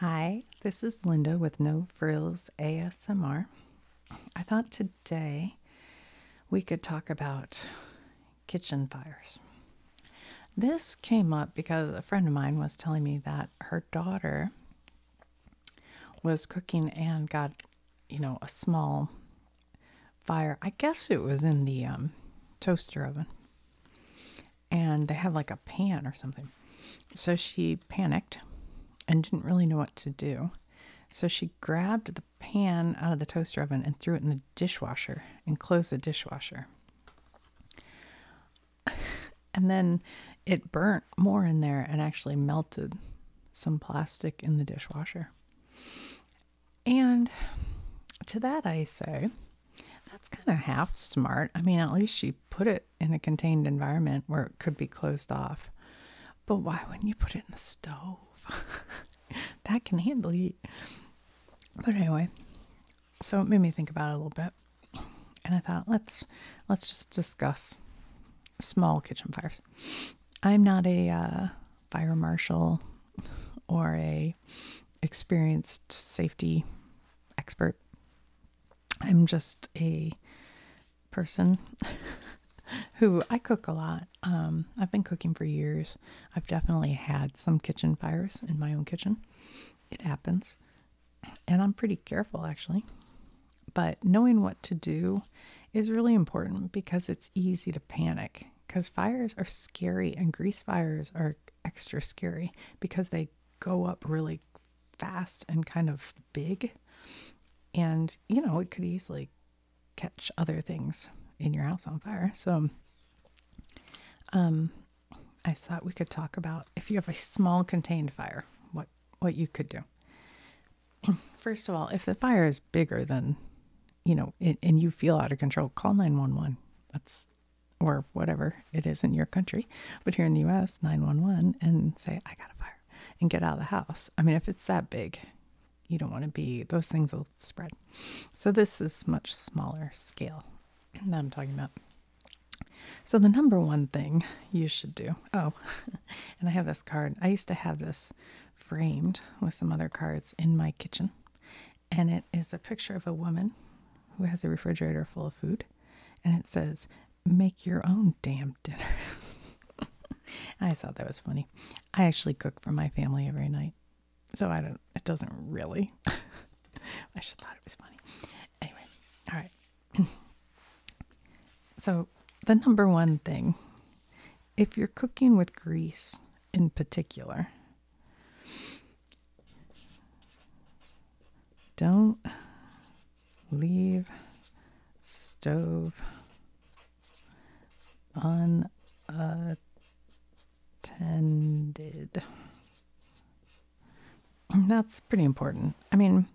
Hi, this is Linda with No Frills ASMR. I thought today we could talk about kitchen fires. This came up because a friend of mine was telling me that her daughter was cooking and got, you know, a small fire. I guess it was in the um, toaster oven and they had like a pan or something. So she panicked and didn't really know what to do. So she grabbed the pan out of the toaster oven and threw it in the dishwasher and closed the dishwasher. and then it burnt more in there and actually melted some plastic in the dishwasher. And to that I say, that's kind of half smart. I mean, at least she put it in a contained environment where it could be closed off. But why wouldn't you put it in the stove? that can handle heat. But anyway, so it made me think about it a little bit. And I thought, let's let's just discuss small kitchen fires. I'm not a uh, fire marshal or a experienced safety expert I'm just a person who I cook a lot. Um, I've been cooking for years. I've definitely had some kitchen fires in my own kitchen. It happens. And I'm pretty careful actually. But knowing what to do is really important because it's easy to panic because fires are scary and grease fires are extra scary because they go up really fast and kind of big. And, you know, it could easily catch other things in your house on fire. So, um, I thought we could talk about if you have a small contained fire, what, what you could do. First of all, if the fire is bigger than, you know, and you feel out of control, call 911. That's or whatever it is in your country, but here in the US, 911 and say, I got a fire and get out of the house. I mean, if it's that big, you don't want to be, those things will spread. So this is much smaller scale that I'm talking about. So the number one thing you should do, oh, and I have this card. I used to have this framed with some other cards in my kitchen. And it is a picture of a woman who has a refrigerator full of food and it says, Make your own damn dinner. I thought that was funny. I actually cook for my family every night. So I don't, it doesn't really. I just thought it was funny. Anyway, all right. so the number one thing, if you're cooking with grease in particular, don't leave stove unattended. That's pretty important. I mean,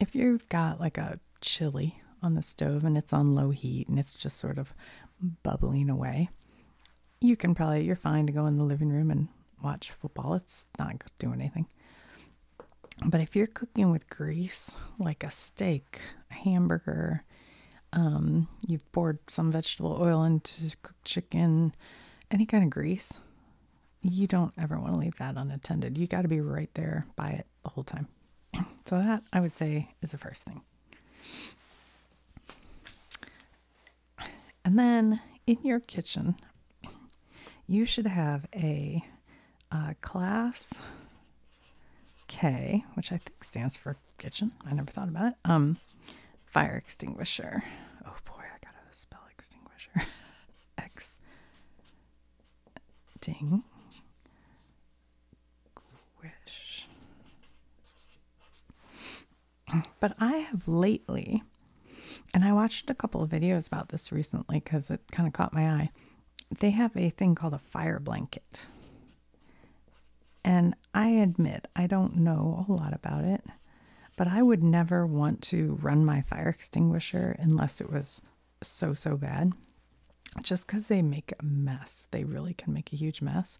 if you've got like a chili on the stove and it's on low heat and it's just sort of bubbling away, you can probably, you're fine to go in the living room and watch football. It's not doing anything. But if you're cooking with grease, like a steak, a hamburger, um, you've poured some vegetable oil into cooked chicken, any kind of grease, you don't ever want to leave that unattended. You got to be right there by it the whole time. So, that I would say is the first thing. And then in your kitchen, you should have a uh, class K, which I think stands for kitchen. I never thought about it. Um, fire extinguisher. Oh boy, I gotta spell extinguisher. X ding wish. But I have lately and I watched a couple of videos about this recently because it kind of caught my eye. They have a thing called a fire blanket. And I admit, I don't know a lot about it, but I would never want to run my fire extinguisher unless it was so, so bad. Just because they make a mess, they really can make a huge mess.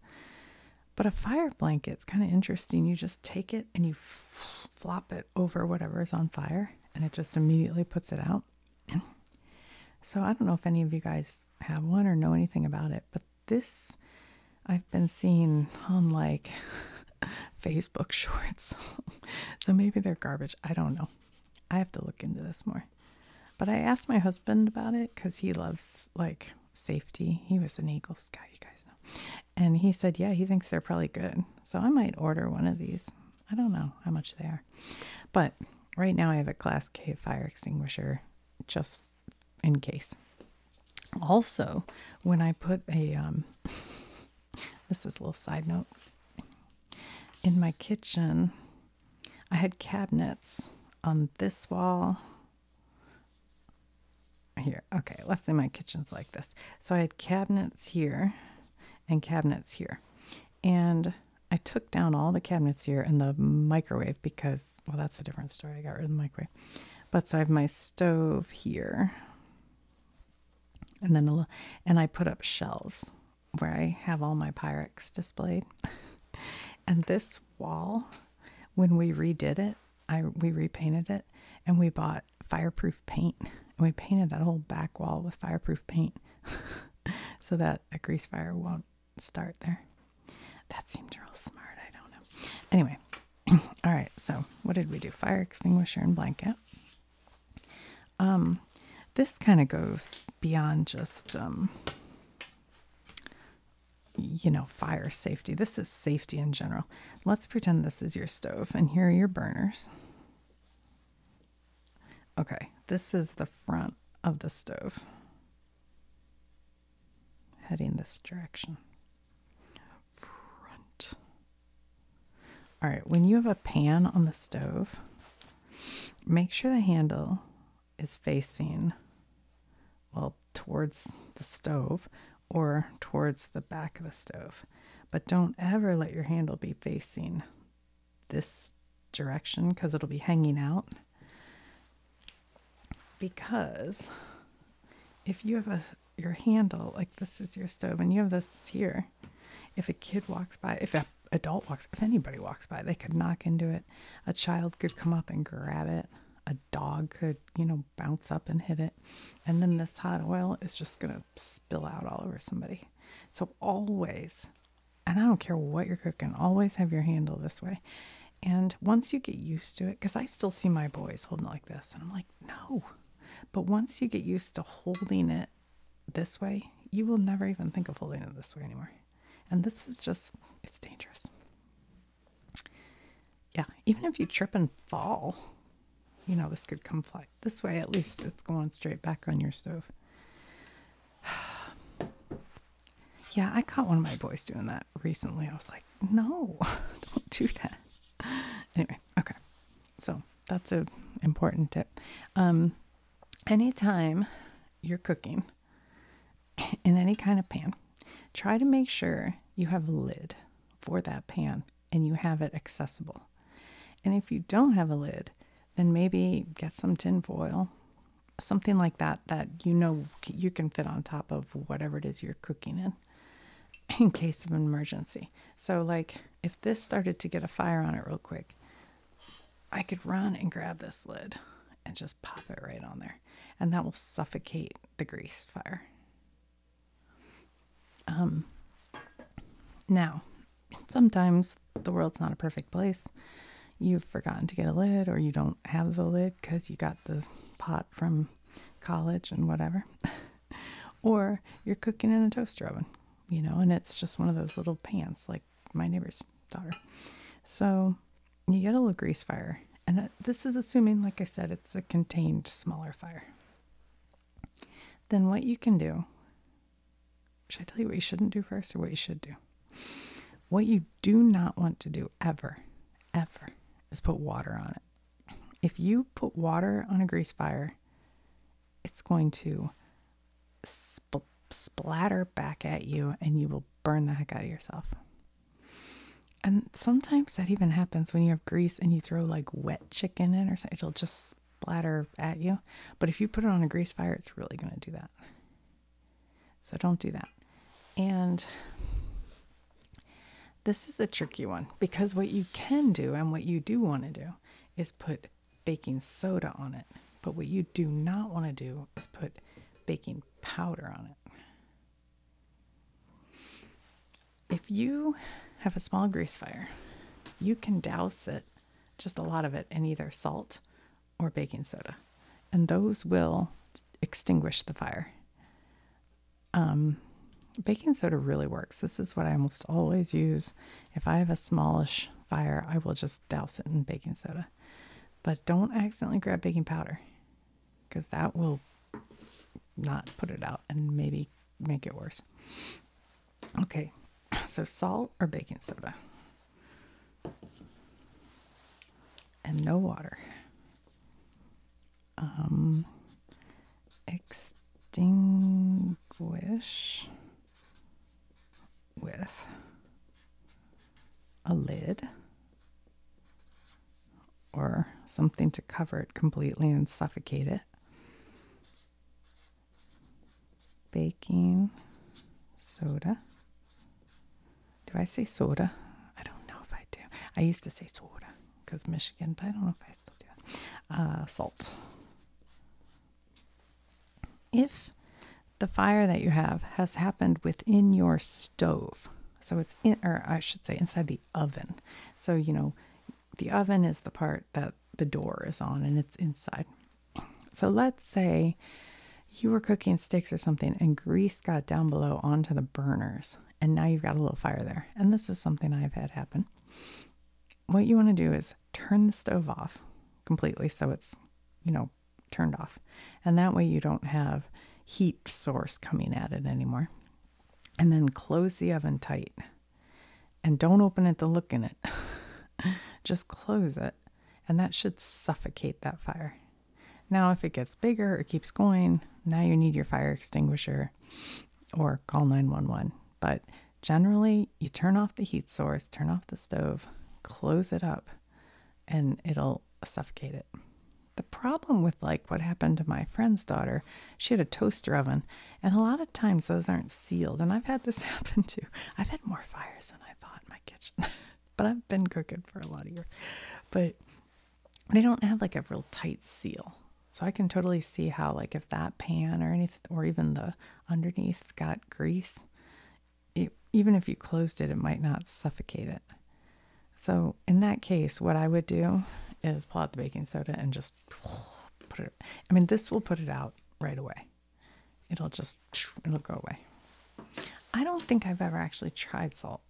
But a fire blanket's kind of interesting. You just take it and you flop it over whatever is on fire and it just immediately puts it out. So I don't know if any of you guys have one or know anything about it, but this I've been seeing on like Facebook shorts. so maybe they're garbage. I don't know. I have to look into this more. But I asked my husband about it because he loves like safety. He was an Eagle Scout, you guys know. And he said, yeah, he thinks they're probably good. So I might order one of these. I don't know how much they are. But right now I have a Class K fire extinguisher just in case. Also, when I put a, um, this is a little side note, in my kitchen, I had cabinets on this wall here. Okay, let's say my kitchen's like this. So I had cabinets here and cabinets here. And I took down all the cabinets here and the microwave because, well, that's a different story. I got rid of the microwave. But so I have my stove here. And then, a, and I put up shelves where I have all my Pyrex displayed. and this wall, when we redid it, I we repainted it and we bought fireproof paint and we painted that whole back wall with fireproof paint so that a grease fire won't start there. That seemed real smart. I don't know. Anyway, all right. So what did we do? Fire extinguisher and blanket. Um, this kind of goes beyond just um, you know fire safety. This is safety in general. Let's pretend this is your stove, and here are your burners. Okay, this is the front of the stove. Heading this direction. Front. All right, when you have a pan on the stove, make sure the handle is facing, well, towards the stove, or towards the back of the stove. But don't ever let your handle be facing this direction because it'll be hanging out. Because if you have a your handle, like this is your stove and you have this here, if a kid walks by, if an adult walks, if anybody walks by, they could knock into it. A child could come up and grab it. A dog could, you know, bounce up and hit it. And then this hot oil is just going to spill out all over somebody. So always, and I don't care what you're cooking, always have your handle this way. And once you get used to it, because I still see my boys holding it like this, and I'm like, no. But once you get used to holding it this way, you will never even think of holding it this way anymore. And this is just, it's dangerous. Yeah, even if you trip and fall, you know, this could come fly this way. At least it's going straight back on your stove. yeah, I caught one of my boys doing that recently. I was like, no, don't do that. Anyway, okay. So that's an important tip. Um, anytime you're cooking in any kind of pan, try to make sure you have a lid for that pan and you have it accessible. And if you don't have a lid, then maybe get some tin foil, something like that, that you know you can fit on top of whatever it is you're cooking in in case of emergency. So, like, if this started to get a fire on it real quick, I could run and grab this lid and just pop it right on there. And that will suffocate the grease fire. Um, now, sometimes the world's not a perfect place. You've forgotten to get a lid, or you don't have the lid because you got the pot from college and whatever. or you're cooking in a toaster oven, you know, and it's just one of those little pans like my neighbor's daughter. So you get a little grease fire. And uh, this is assuming, like I said, it's a contained smaller fire then what you can do, should I tell you what you shouldn't do first or what you should do? What you do not want to do ever, ever, is put water on it. If you put water on a grease fire, it's going to splatter back at you and you will burn the heck out of yourself. And sometimes that even happens when you have grease and you throw like wet chicken in or something. It'll just Bladder at you. But if you put it on a grease fire, it's really going to do that. So don't do that. And this is a tricky one because what you can do and what you do want to do is put baking soda on it. But what you do not want to do is put baking powder on it if you have a small grease fire, you can douse it, just a lot of it, in either salt or baking soda, and those will extinguish the fire. Um, baking soda really works. This is what I almost always use. If I have a smallish fire, I will just douse it in baking soda. But don't accidentally grab baking powder because that will not put it out and maybe make it worse. Okay, so salt or baking soda? And no water. Um, extinguish with a lid or something to cover it completely and suffocate it baking soda. Do I say soda? I don't know if I do. I used to say soda because Michigan, but I don't know if I still do that. Uh, salt. If the fire that you have has happened within your stove, so it's in, or I should say, inside the oven. So you know, the oven is the part that the door is on and it's inside. So let's say you were cooking sticks or something and grease got down below onto the burners and now you've got a little fire there. And this is something I've had happen. What you want to do is turn the stove off completely so it's, you know, turned off. And that way you don't have heat source coming at it anymore. And then close the oven tight and don't open it to look in it. Just close it, and that should suffocate that fire. Now, if it gets bigger or keeps going, now you need your fire extinguisher or call 911. But generally, you turn off the heat source, turn off the stove, close it up, and it'll suffocate it. The problem with like what happened to my friend's daughter, she had a toaster oven and a lot of times those aren't sealed. And I've had this happen too. I've had more fires than I thought in my kitchen, but I've been cooking for a lot of years. But they don't have like a real tight seal. So I can totally see how, like, if that pan or anything, or even the underneath got grease, even if you closed it, it might not suffocate it. So in that case, what I would do is pull out the baking soda and just put it. I mean, this will put it out right away. It'll just, it'll go away. I don't think I've ever actually tried salt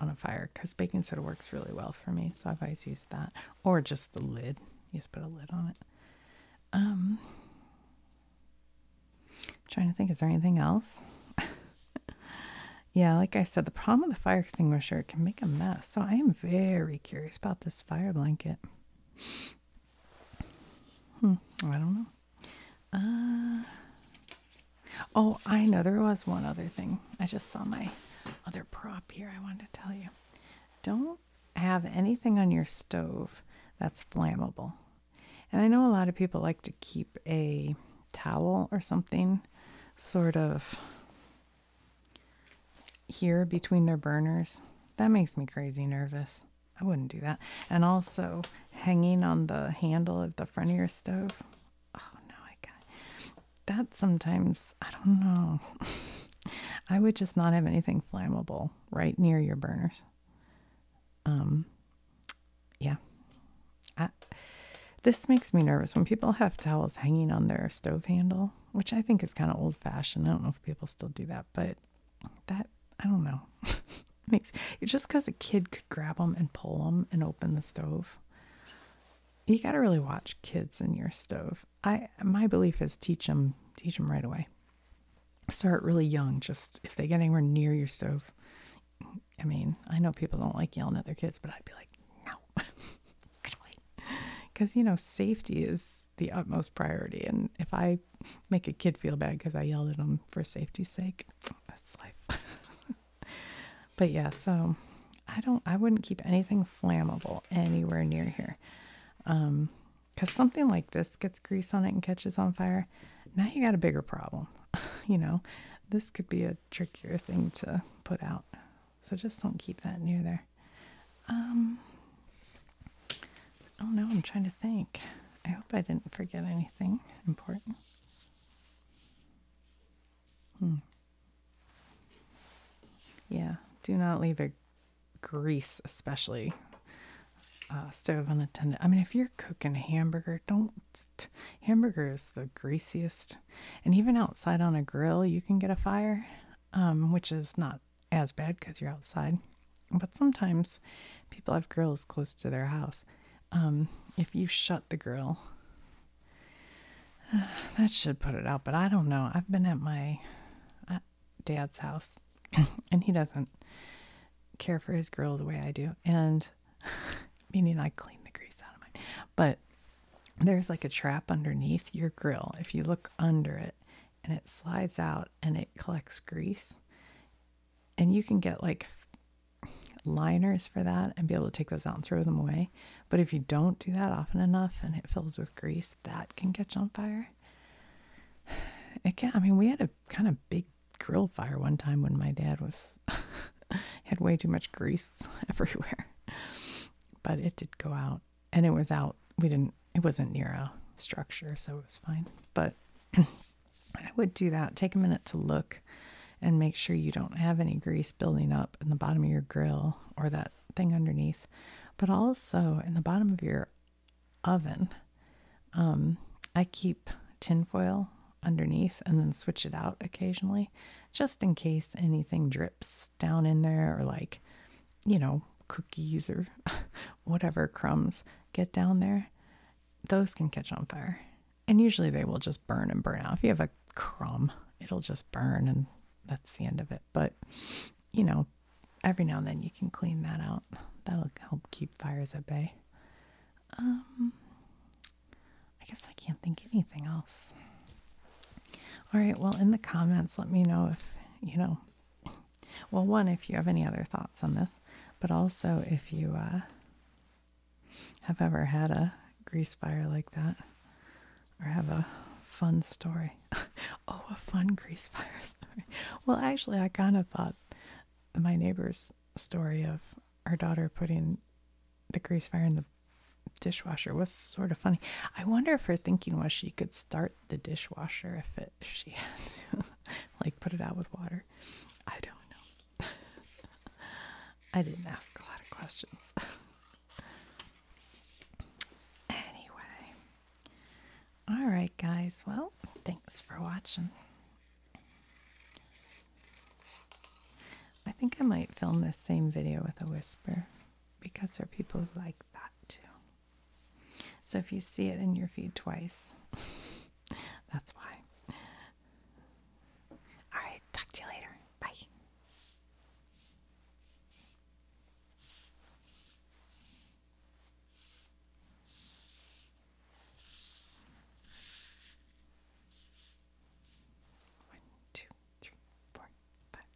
on a fire because baking soda works really well for me. So I've always used that or just the lid. You just put a lid on it. Um, trying to think, is there anything else? yeah, like I said, the problem with the fire extinguisher can make a mess. So I am very curious about this fire blanket. Hmm, I don't know. Uh, oh, I know there was one other thing. I just saw my other prop here. I wanted to tell you. Don't have anything on your stove that's flammable. And I know a lot of people like to keep a towel or something sort of here between their burners. That makes me crazy nervous. I wouldn't do that. And also hanging on the handle of the front of your stove. Oh no, I got that sometimes I don't know. I would just not have anything flammable right near your burners. Um yeah. this makes me nervous when people have towels hanging on their stove handle which I think is kind of old fashioned. I don't know if people still do that, but that, I don't know. makes just because a kid could grab them and pull them and open the stove. You got to really watch kids in your stove. I my belief is teach them teach them right away. Start really young. Just if they get anywhere near your stove, I mean, I know people don't like yelling at their kids, but I'd be like, no, because you know safety is the utmost priority. And if I make a kid feel bad because I yelled at them for safety's sake, that's life. but yeah, so I don't, I wouldn't keep anything flammable anywhere near here. Um, because something like this gets grease on it and catches on fire, now you got a bigger problem. you know, this could be a trickier thing to put out. So just don't keep that near there here. Um, I don't know. I'm trying to think. I hope I didn't forget anything important. Hmm. Yeah, do not leave a grease, especially uh, stove unattended. I mean, if you're cooking a hamburger, don't. Hamburger is the greasiest, and even outside on a grill, you can get a fire, um, which is not as bad because you're outside. But sometimes people have grills close to their house. Um, if you shut the grill, that should put it out. But I don't know. I've been at my uh, dad's house, and he doesn't care for his grill the way I do. And meaning I clean the grease out of mine. But there's like a trap underneath your grill. If you look under it, and it slides out and it collects grease. And you can get like liners for that and be able to take those out and throw them away. But if you don't do that often enough and it fills with grease, that can catch on fire. It can, I mean, we had a kind of big grill fire one time when my dad was had way too much grease everywhere. But it did go out and it was out. We didn't, it wasn't near a structure, so it was fine. But I would do that. Take a minute to look and make sure you don't have any grease building up in the bottom of your grill or that thing underneath, but also in the bottom of your oven. Um, I keep tinfoil underneath and then switch it out occasionally just in case anything drips down in there or like you know, cookies or whatever crumbs get down there, those can catch on fire. And usually they will just burn and burn out. If you have a crumb, it'll just burn and that's the end of it. But, you know, every now and then you can clean that out. That'll help keep fires at bay. Um, I guess I can't think anything else. All right, well, in the comments, let me know if, you know, well, one, if you have any other thoughts on this, but also if you uh, have ever had a grease fire like that or have a fun story. oh, a fun grease fire story. Well, actually, I kind of thought my neighbor's story of her daughter putting the grease fire in the dishwasher was sort of funny. I wonder if her thinking was she could start the dishwasher if, it, she had to, like put it out with water. I don't know. I didn't ask a lot of questions. anyway, all right, guys. Well, thanks for watching. I think I might film this same video with a whisper because there are people who like that too. So if you see it in your feed twice, that's why. All right, talk to you later. Bye. One, two, three, four, five.